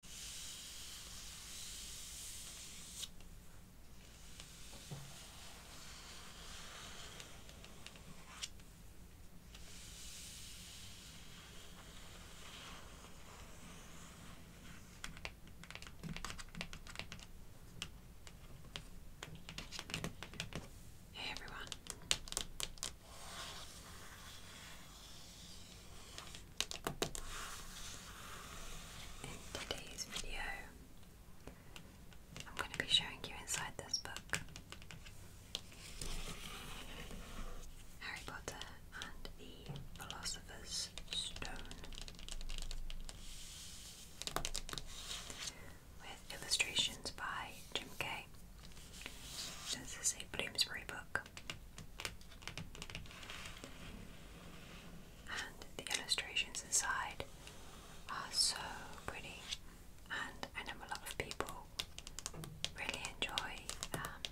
Hey everyone. In today's video, I'm going to be showing you inside this book Harry Potter and the Philosopher's Stone with illustrations by Jim Kay. This is a Bloomsbury book. And the illustrations inside are so pretty, and I know a lot of people really enjoy um,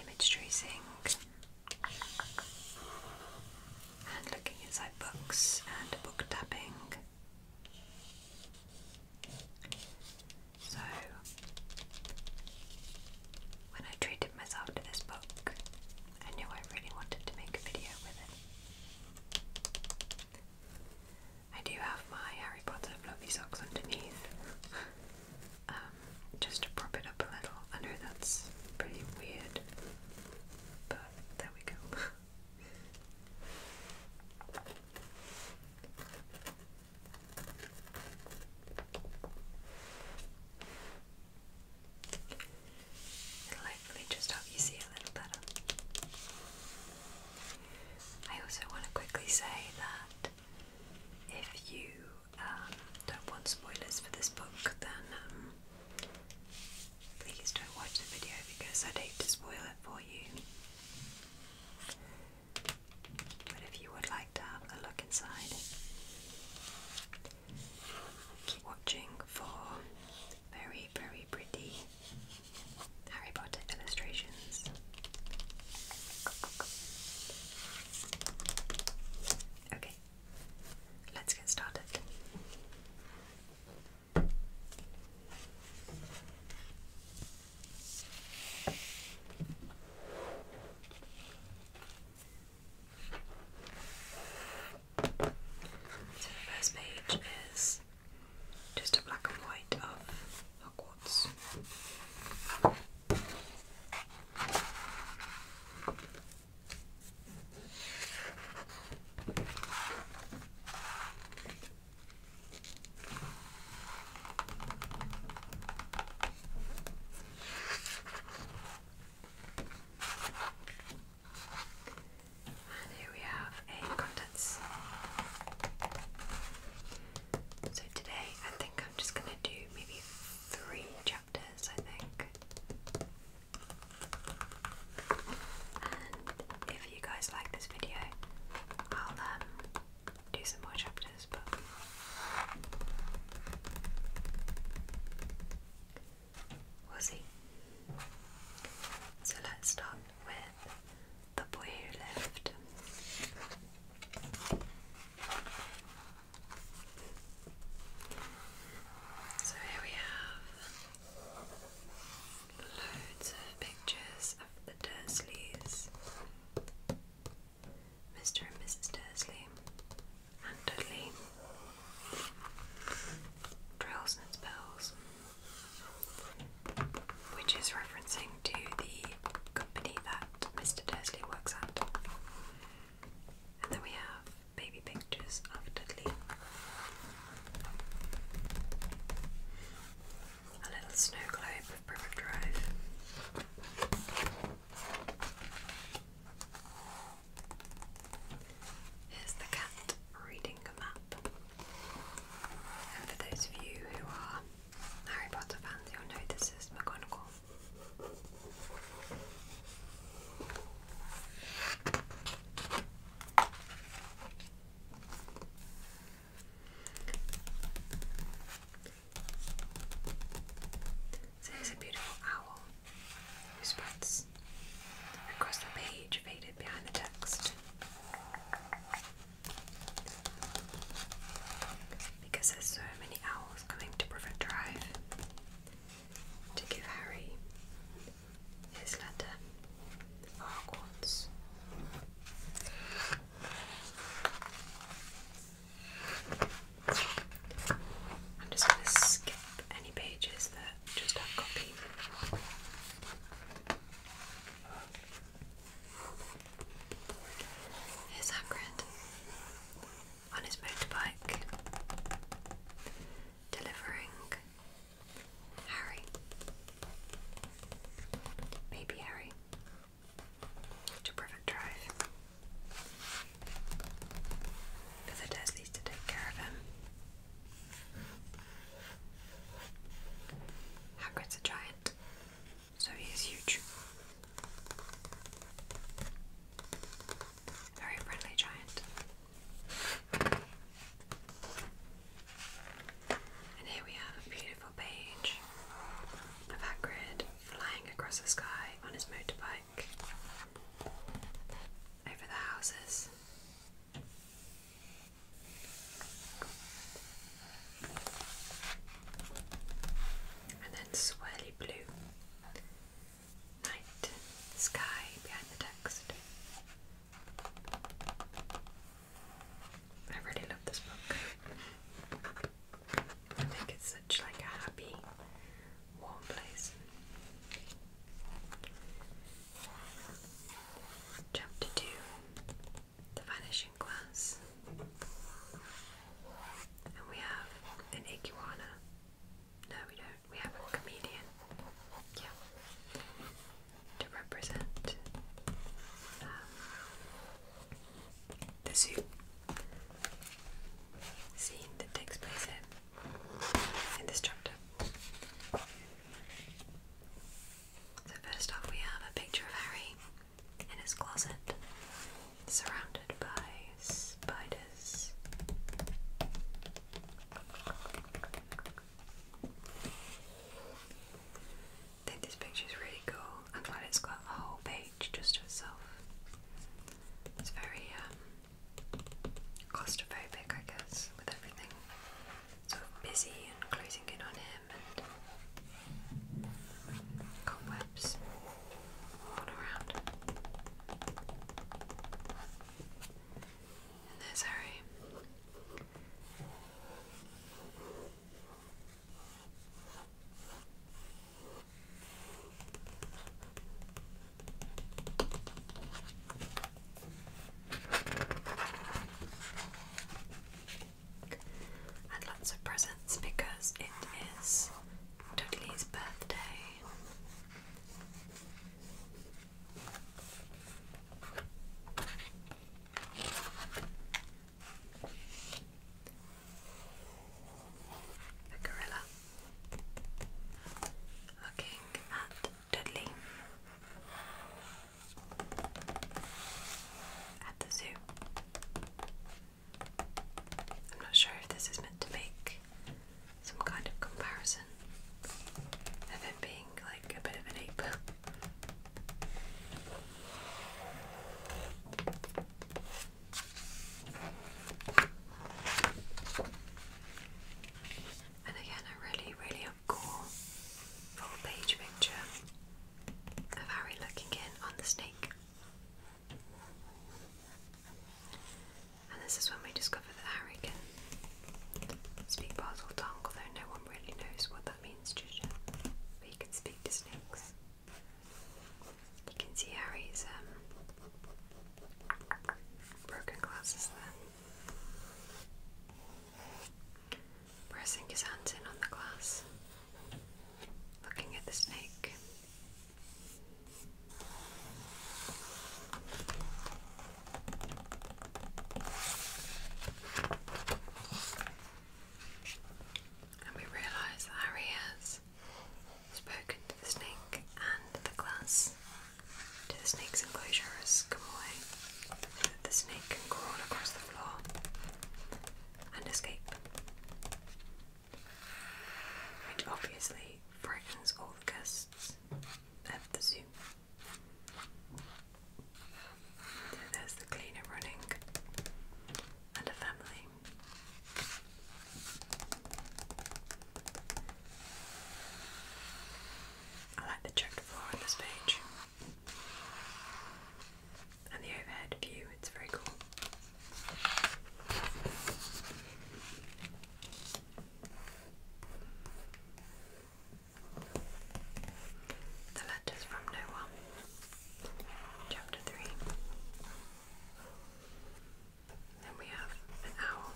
image tracing and looking inside books and book tapping. So, when I treated myself to this book, I knew I really wanted to make a video with it. I do have my Harry Potter fluffy socks underneath, um, just to prop it up a little. I know that's pretty weird, but there we go. It'll hopefully just help you see a little better. I also want to quickly say that if you um, don't want spoilers for this book, then um, please don't watch the video because I'd hate to spoil it for you. But if you would like to have a look inside, keep watching for very, very pretty Harry Potter illustrations. Okay, let's get started. So the first page is just a black and white of Hogwarts. And here we have a contents. So today I think I'm just going to do maybe three chapters, I think. And if you guys like this video, I'll um do some more chapters, but we'll see. So let's start with the boy who lived. So here we have loads of pictures of the Dursleys Mr. and Mrs. Dursley, and Dudley. Drills spells, which is referencing to the company that Mr. Dursley works at. And then we have baby pictures of Dudley a little snow globe of Privet Drive. Here's the cat reading a map. And for those of you who are Harry Potter fans, you'll know this is McGonagall there's a beautiful owl who spreads across the page, faded behind the text. Because there's so many owls coming to Private Drive to give Harry his letter for Hogwarts. I'm just going to skip any pages that just have copy. Here's Hagrid on his motorbike delivering Harry. Baby Harry to prevent drive. Because it has to take care of him. Hagrid's a giant, so he is huge. Very friendly giant. And here we have a beautiful page of Hagrid flying across the sky on his motorbike over the houses. And then swirly blue. Night, sky behind the text. I really love this book. I think it's such like a happy, warm place. Chapter two The Vanishing Glass. And we have an iguana. No, we don't. We have a comedian. Yeah to represent um, the scene that takes place in, in this chapter. So, first off, we have a picture of Harry in his closet, surrounded by spiders. I think this picture is really cool. I'm glad it's got a whole page just to itself. It's very um, claustrophobic, I guess, with everything sort of busy and closing in on him and cobwebs all around. And there's Harry. And lots of presents because it is Dudley's birthday. A gorilla looking at Dudley at the zoo. I'm not sure if this is meant to make some kind of comparison of him being like a bit of an ape. And again, a really, really up-core full-page picture of Harry looking in on the snake. And this is when we discover that Harry can speak Basel tongue, no one really knows what that that means Trisha. But you can speak to snakes. can see how um, broken glasses there. Pressing his hands in on the glass. Looking at the snake. And we realise that Harry spoken to the snake and the glass to the snake's enclosure has come away so that the snake can crawl across the floor and escape. Which obviously frightens all the guests at the zoo there's the cleaner running and a family. I like the checked floor on this page. And the overhead view, it's very cool. The Letters from No One, Chapter 3. Then we have an owl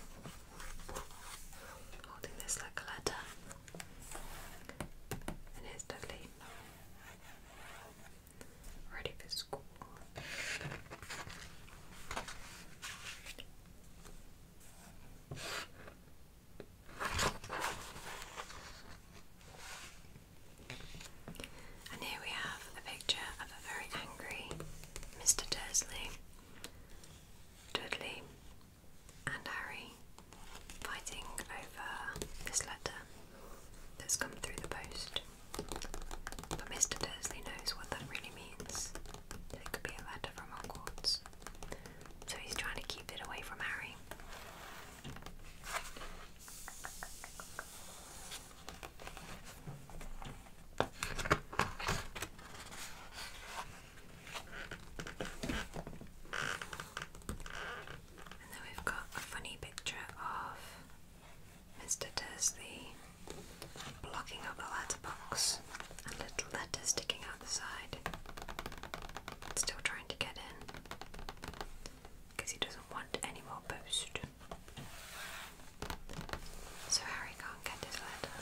holding this like a letter, and here's Dudley, ready for school. And here we have a picture of a very angry Mr. Dursley, Dudley, and Harry fighting over this letter that's come through the post. But Mr. Dursley knows what that really means. It could be a letter from Hogwarts. So he's trying to keep it away from Harry. And then we've got a funny picture of Mr. Dursley blocking up a letterbox and little letters sticking out the side. Still trying to get in because he doesn't want any more boost. So Harry can't get his letter.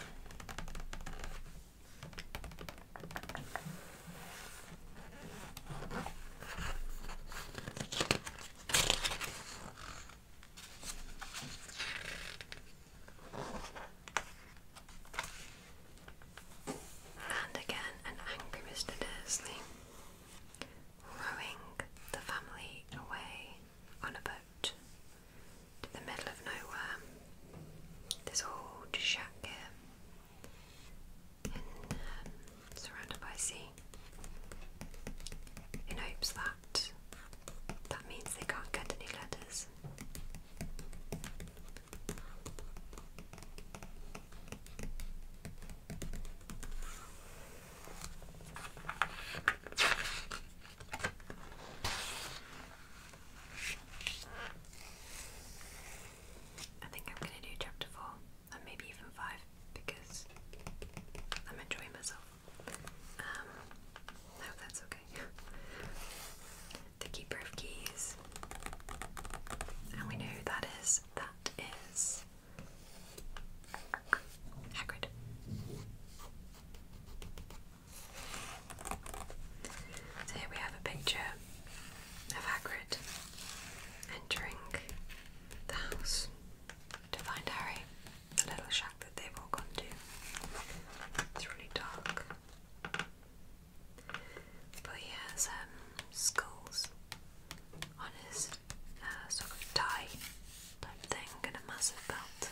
And again, an angry Mr. Dursley, rowing the family away on a boat to the middle of nowhere. This old shack here, um, surrounded by sea, in hopes that that means they can't get any letters. I think I'm going to do chapter 4 and maybe even 5 because I'm enjoying myself. Um, hope that's okay. the Keeper of Keys. And we know who that is. That is Hagrid. So here we have a picture of Hagrid entering the house to find Harry, the little shack that they've all gone to. It's really dark. But he has um, skulls on his uh, sort of tie type thing and a massive belt.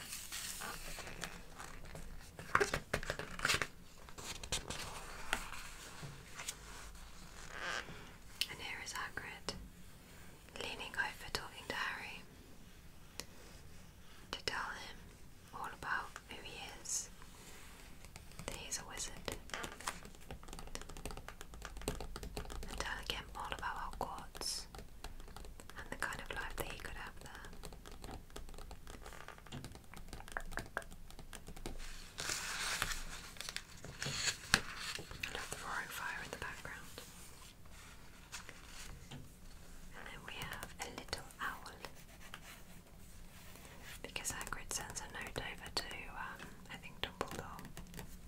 And here is Hagrid leaning over talking to Harry to tell him all about who he is. he's a wizard. And tell again all about Hogwarts and the kind of life that he could have there. I love the roaring fire in the background. And then we have a little owl because Hagrid sends a note over to, um, I think Dumbledore,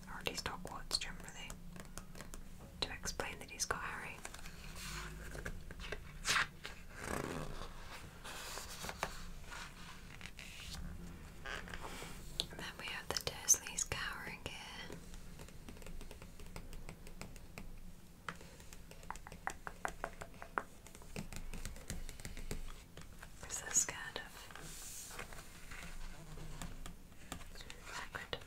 or at least Hogwarts generally, to explain that he's got Harry. then we have the Dursleys cowering here. Is this kind of accurate?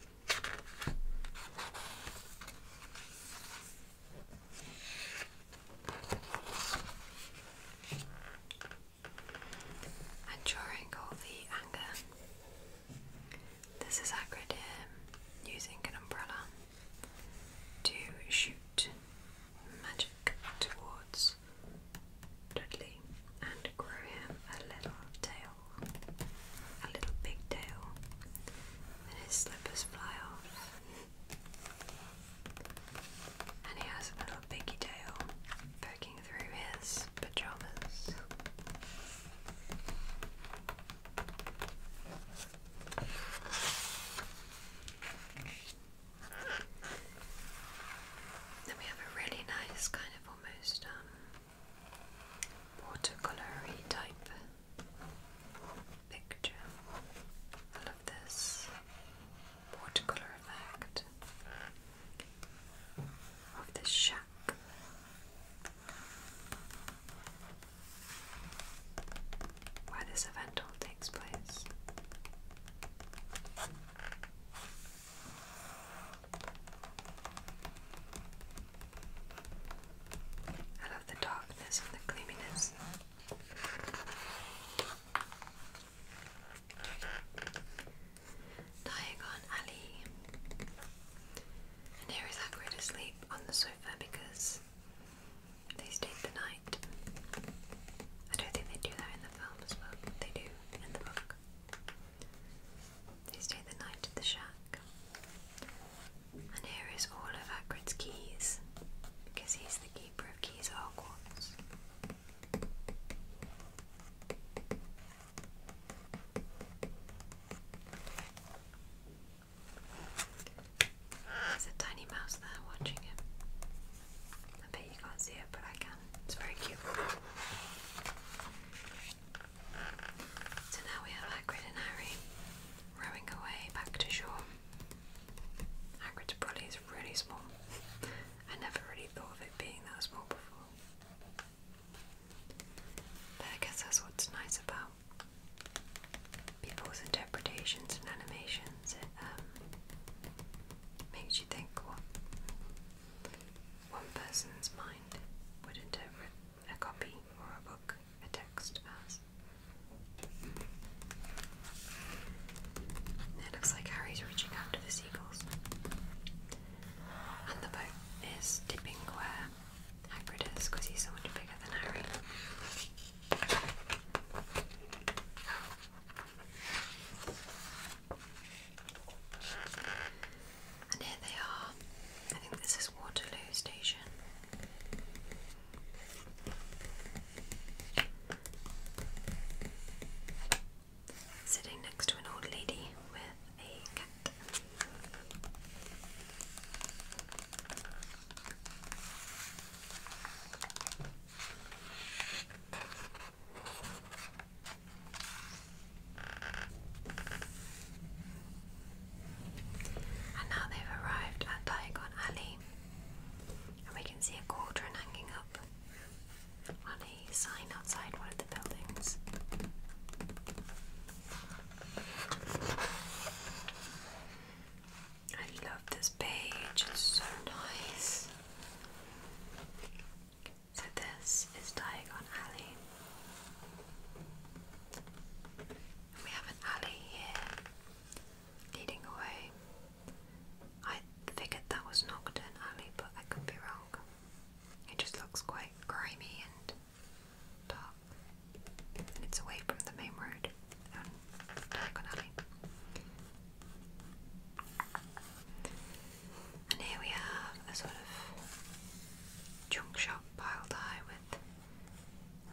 And during all the anger, this is Hagrid here using an umbrella to shoot magic towards Dudley and grow him a little tail, a little big tail, and his slippers fly off. And he has a little piggy tail poking through his pajamas. Then we have a really nice kind of almost um, watercolory type picture. I love this watercolor effect of the shack where this event all takes place. I love the darkness the gleaminess. Diagon Alley. And here is Hagrid asleep on the sofa because they stay the night. I don't think they do that in the film as well, they do in the book. They stayed the night at the shack. And here is all of Hagrid's keys, because he's the keeper of keys at Hogwarts. There's a tiny mouse there watching him. I bet you can't see it, but I can. It's very cute. So now we have Hagrid and Harry rowing away back to shore. Hagrid's body is really small. I never really thought of it being that small before. I guess that's what's nice about people's interpretations and animations. Um, makes you think what one person's mind would interpret a copy or a book, a text as. It looks like Harry's reaching out to the seagulls. And the boat is dipping where Hagrid because he's so much bigger than Harry. And here they are. I think this is Waterloo Station. Sitting next to an old lady with a cat. And now they've arrived at Diagon Alley, and we can see a cauldron hanging up on a sign outside one of the buildings. I love this page, it's so nice. So, this is Diagon Alley. we have an alley here leading away. I figured that was Nocturne Alley, but I could be wrong. It just looks quite grimy and top. And it's away from the main road And here we have a sort of junk shop piled high with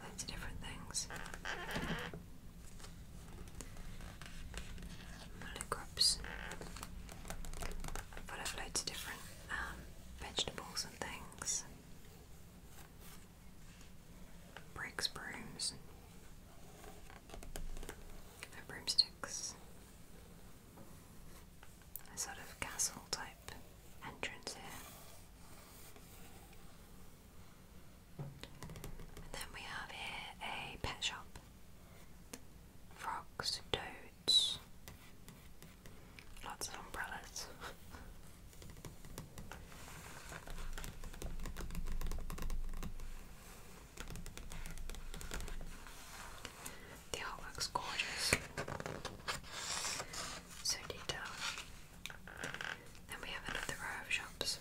loads of different things. Monogrips full of loads of different um, vegetables and things bricks, brooms, and broomsticks. A sort of castle type entrance here. And then we have here a pet shop. Frogs, toads, Lots of umbrellas. the artwork's gorgeous. So detailed. Then we have another row of shops.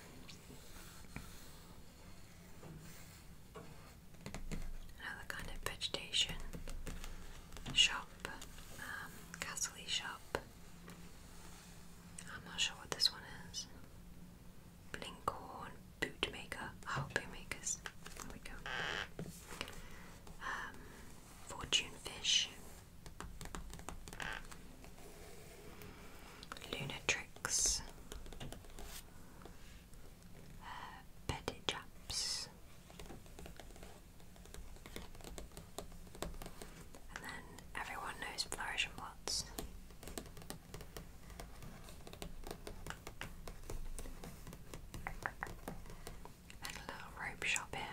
Another kind of vegetation shop, um, Castley shop. I'm not sure what this one is. Blinkhorn bootmaker. Oh, bootmakers. There we go. Um, fortune fish. Lunatrix. Uh, Betty Chaps. And then everyone knows flourishing plots. And a little rope shop here.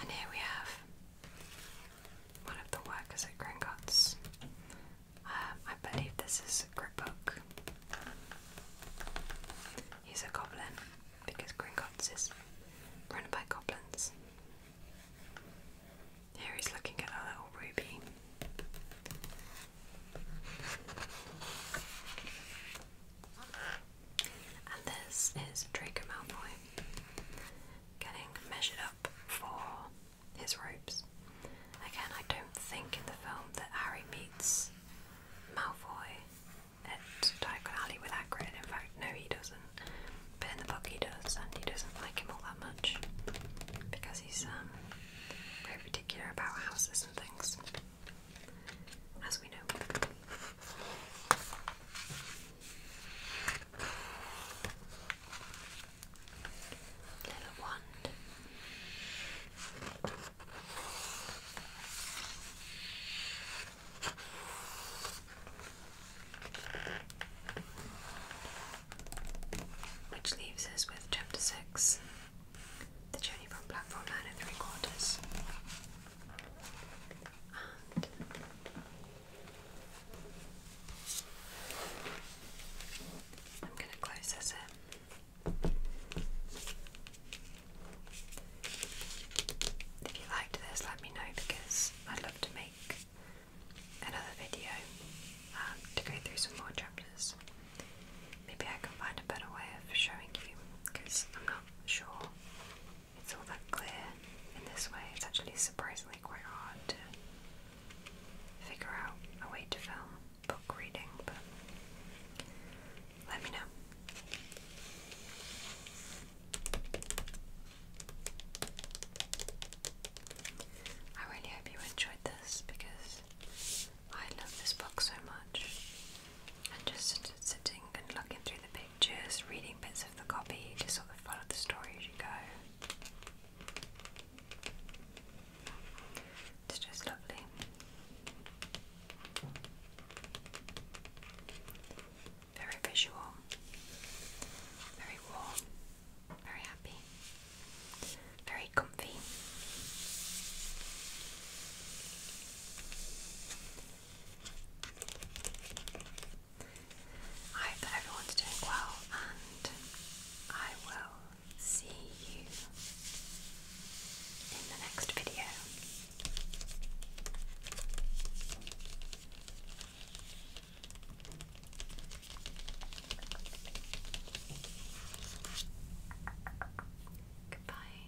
And here we have one of the workers at Gringotts. Um, I believe this is Griphook. He's a goblin because Gringotts is run by goblins. Here he's looking at a little ruby. And this is Draco Malfoy getting measured up for his ropes. Again, I don't think in the film that Harry meets Malfoy at Diagon Alley with Hagrid. In fact, no, he doesn't. But in the book, he does, and he doesn't like him all that much because he's um, very particular about houses and things, as we know. Which leaves us with chapter six The Journey from Platform Nine and Three Quarters. I'm going to close this in. If you liked this, let me know because I'd love to make another video um, to go through some more chapters. Maybe I can find a better way of showing you because I'm not sure it's all that clear in this way. It's actually surprisingly quite hard to figure out a way to film book reading, but let me know. I really hope you enjoyed this because I love this book so much. And just sitting and looking through the pages. Just reading bits of the copy, you just sort of follow the story as you go. It's just lovely. Very visual, very warm, very happy, very comfy. I hope that everyone's doing well, and I will see you in the next video. Goodbye.